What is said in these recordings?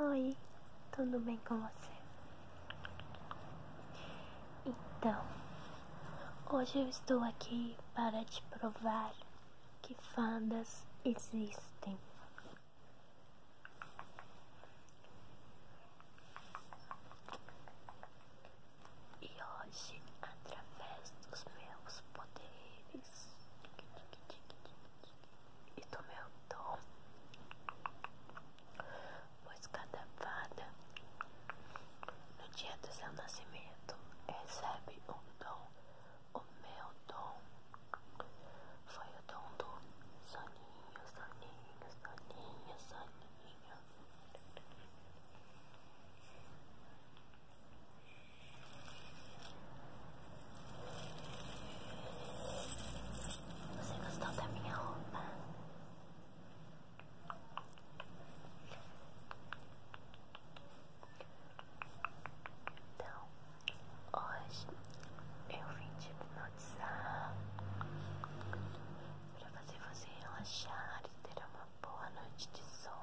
Oi, tudo bem com você? Então, hoje eu estou aqui para te provar que fadas existem. E hoje, através dos meus poderes nariz e do meu dom pois cada fada no dia do seu nascimento recebe um dom. O meu dom foi o dom do soninho, soninho, soninho, soninho. Você gostou da minha roupa? Então, hoje eu vim te hipnotizar para fazer você relaxar e ter uma boa noite de sono.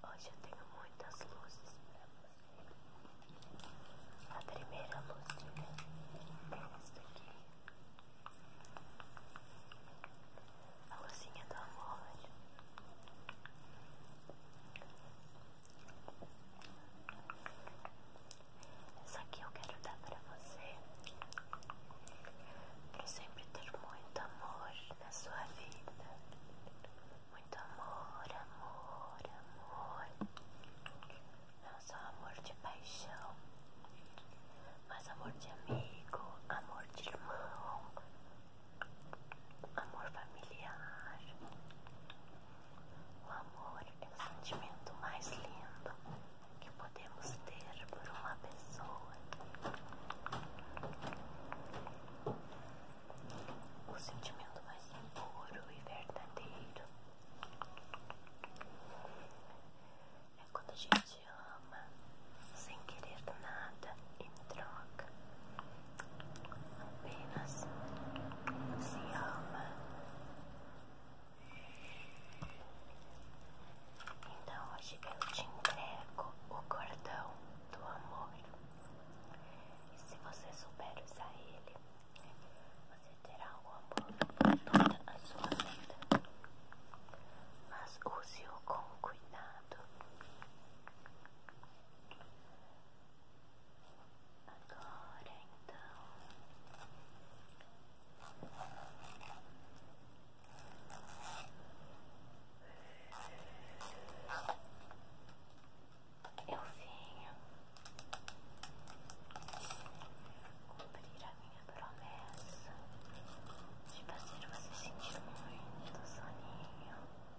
Hoje eu tenho muitas luzes para você. A primeira luz de mim é esta aqui. A luzinha do amor. Essa aqui eu quero dar pra você, pra sempre ter muito amor na sua vida. Muito amor, amor, amor. Não só amor de paixão, mas amor de amigo, amor de irmão, amor familiar. O amor é o sentimento mais lindo que podemos ter por uma pessoa. O sentimento mais puro e verdadeiro é quando a gente ama sem querer nada em troca. Apenas se ama. Então hoje eu te entrego o cordão do amor. E se você souber usar ele, você terá o amor para toda a sua vida. Mas use-o com cuidado. Agora então eu venho cumprir a minha promessa de fazer você sentir muito soninho.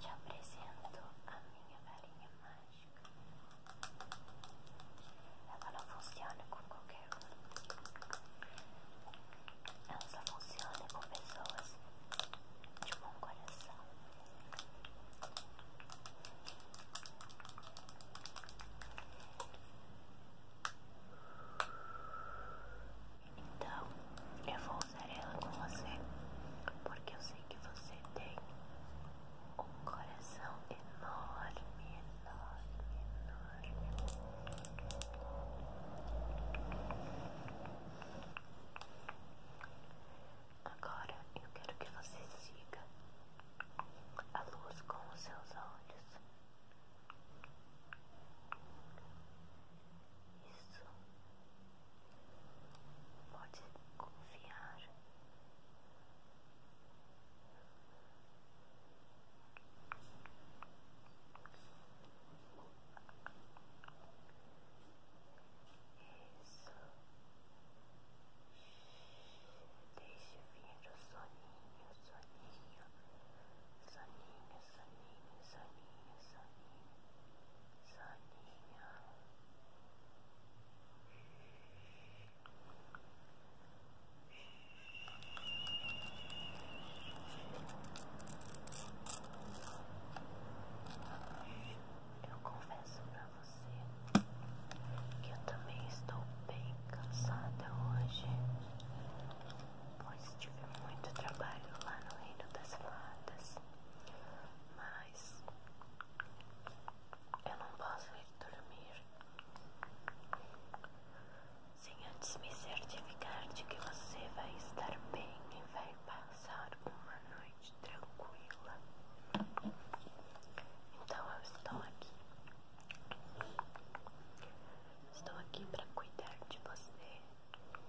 Te apresento a minha varinha mágica. Ela não funciona com qualquer um. Ela só funciona com pessoas de bom coração. Então, eu vou usar ela com você, porque eu sei que você tem um coração enorme, enorme, enorme. Agora eu quero que você siga a luz com os seus olhos. Isso pode confiar isso deixe vir o soninho, soninho, soninho Soninho, soninho, soninho, soninho. Eu confesso pra você que eu também estou bem cansada hoje pois tive muito trabalho lá no Reino das Fadas, mas eu não posso ir dormir sem antes me certificar de que você vai estar bem e vai passar uma noite tranquila. Então eu estou aqui Estou aqui para cuidar de você. Relaxe.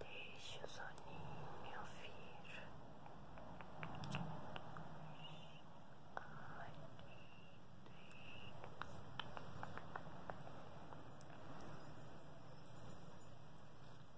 Deixe o soninho vir.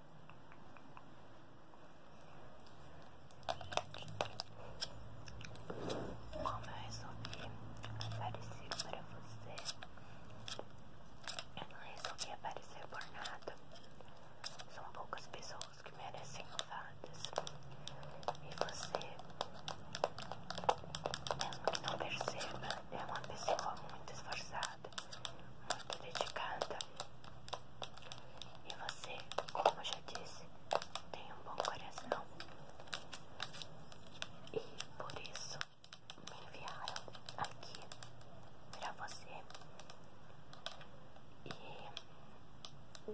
Como eu resolvi aparecer para você, eu não resolvi aparecer por nada. São poucas pessoas que merecem louvadas. E você, mesmo que não perceba, é uma pessoa muito esforçada muito dedicada. E você, como já disse, tem um bom coração. E por isso me enviaram aqui pra você. E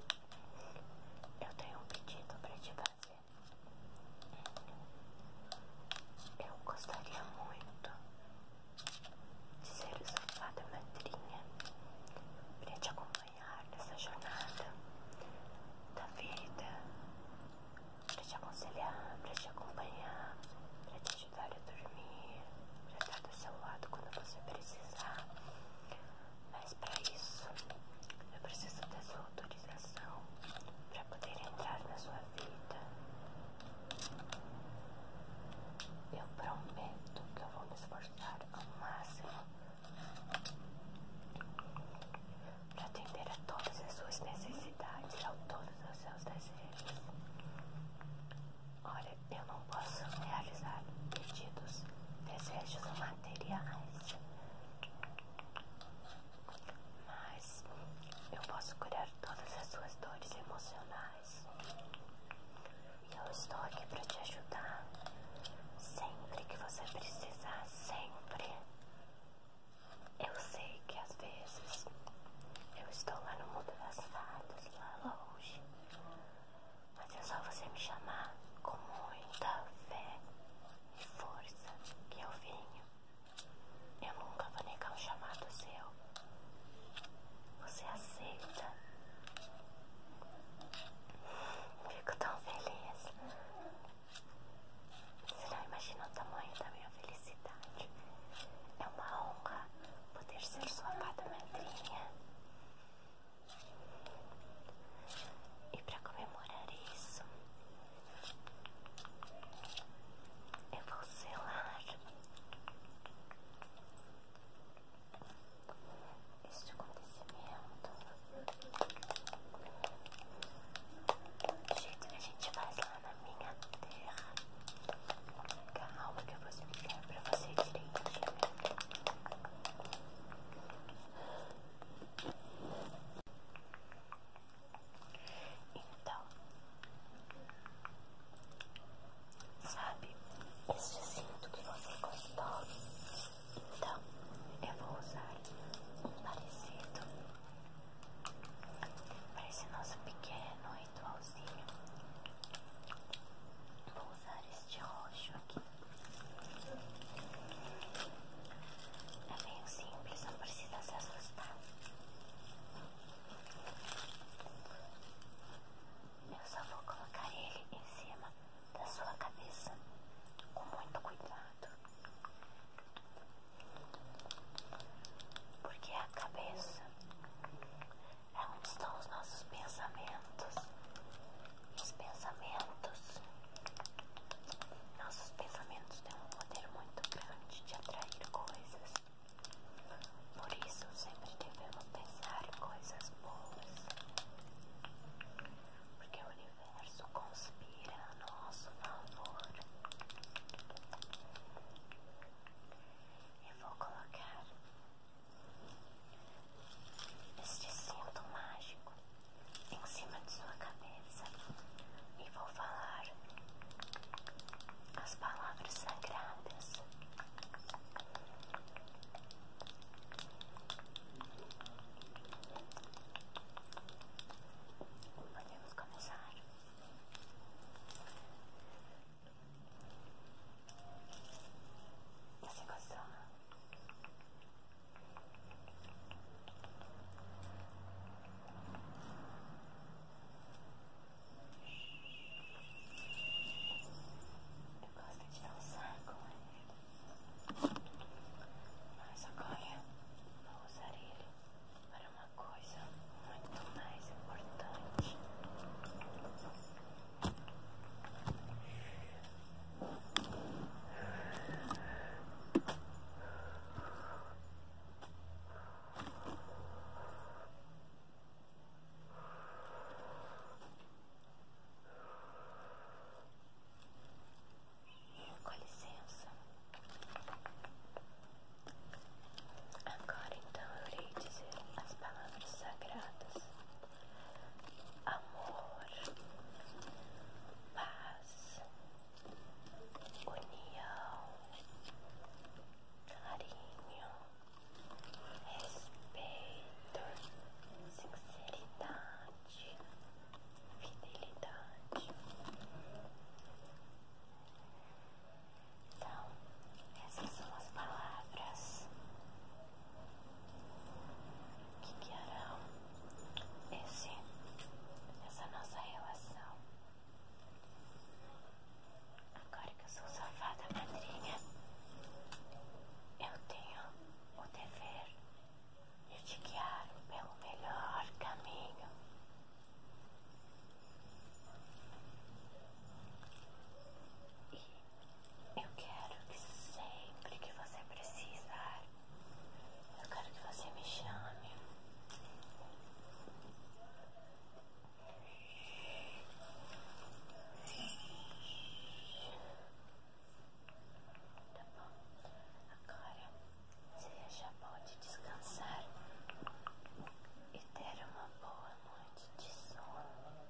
eu tenho um pedido pra te fazer. Eu gostaria muito ser o sofá da madrinha para te acompanhar nessa jornada da vida, para te aconselhar, para te acompanhar, para te ajudar a dormir, para estar do seu lado quando você precisar. Mas para isso, eu preciso da sua autorização para poder entrar na sua vida, eu prometo que eu vou me esforçar ao máximo para atender a todas as suas necessidades e a todos os seus desejos. Olha, eu não posso realizar pedidos, desejos materiais, mas eu posso curar todas as suas dores emocionais eu estou aqui para te ajudar sempre que você precisar, sempre. Eu sei que às vezes eu estou lá no mundo das fadas, lá longe, mas é só você me chamar com muita fé e força que eu venho. Eu nunca vou negar um chamado seu. Você aceita? Fico tão feliz. Você não imagina o tamanho da minha felicidade. É uma honra poder ser sua fada madrinha. E para comemorar isso, eu vou selar este acontecimento. Do jeito que a gente faz lá na minha terra. Calma que eu vou explicar pra você direito Então, Sabe, esse cinto que você gostou, então eu vou usar um parecido para esse nosso pequeno ritualzinho. Vou usar este roxo aqui. É bem simples, não precisa se assustar. Eu só vou colocar ele em cima da sua cabeça com muito cuidado, porque a cabeça é onde estão os nossos pensamentos. Os pensamentos, nossos pensamentos têm um poder muito grande de atrair coisas. Por isso, sempre devemos pensar coisas boas, porque o universo conspira a nosso favor. Eu vou colocar este cinto mágico em cima de sua cabeça e vou falar as palavras sagradas. Podemos começar. Você gostou? Eu gosto de dançar o saco? Né? mas agora vou usar ele para uma coisa muito mais importante. Com licença. Agora então eu irei dizer as palavras sagradas: amor, paz, união, carinho, respeito, sinceridade, fidelidade. Então, essas são as palavras que guiarão esse, essa nossa relação. Agora que eu sou safada madrinha, eu tenho o dever de te guiar pelo melhor caminho. E eu quero que sempre que você precisar eu quero que você me chame. Tá bom. Agora você já pode descansar e ter uma boa noite de sono.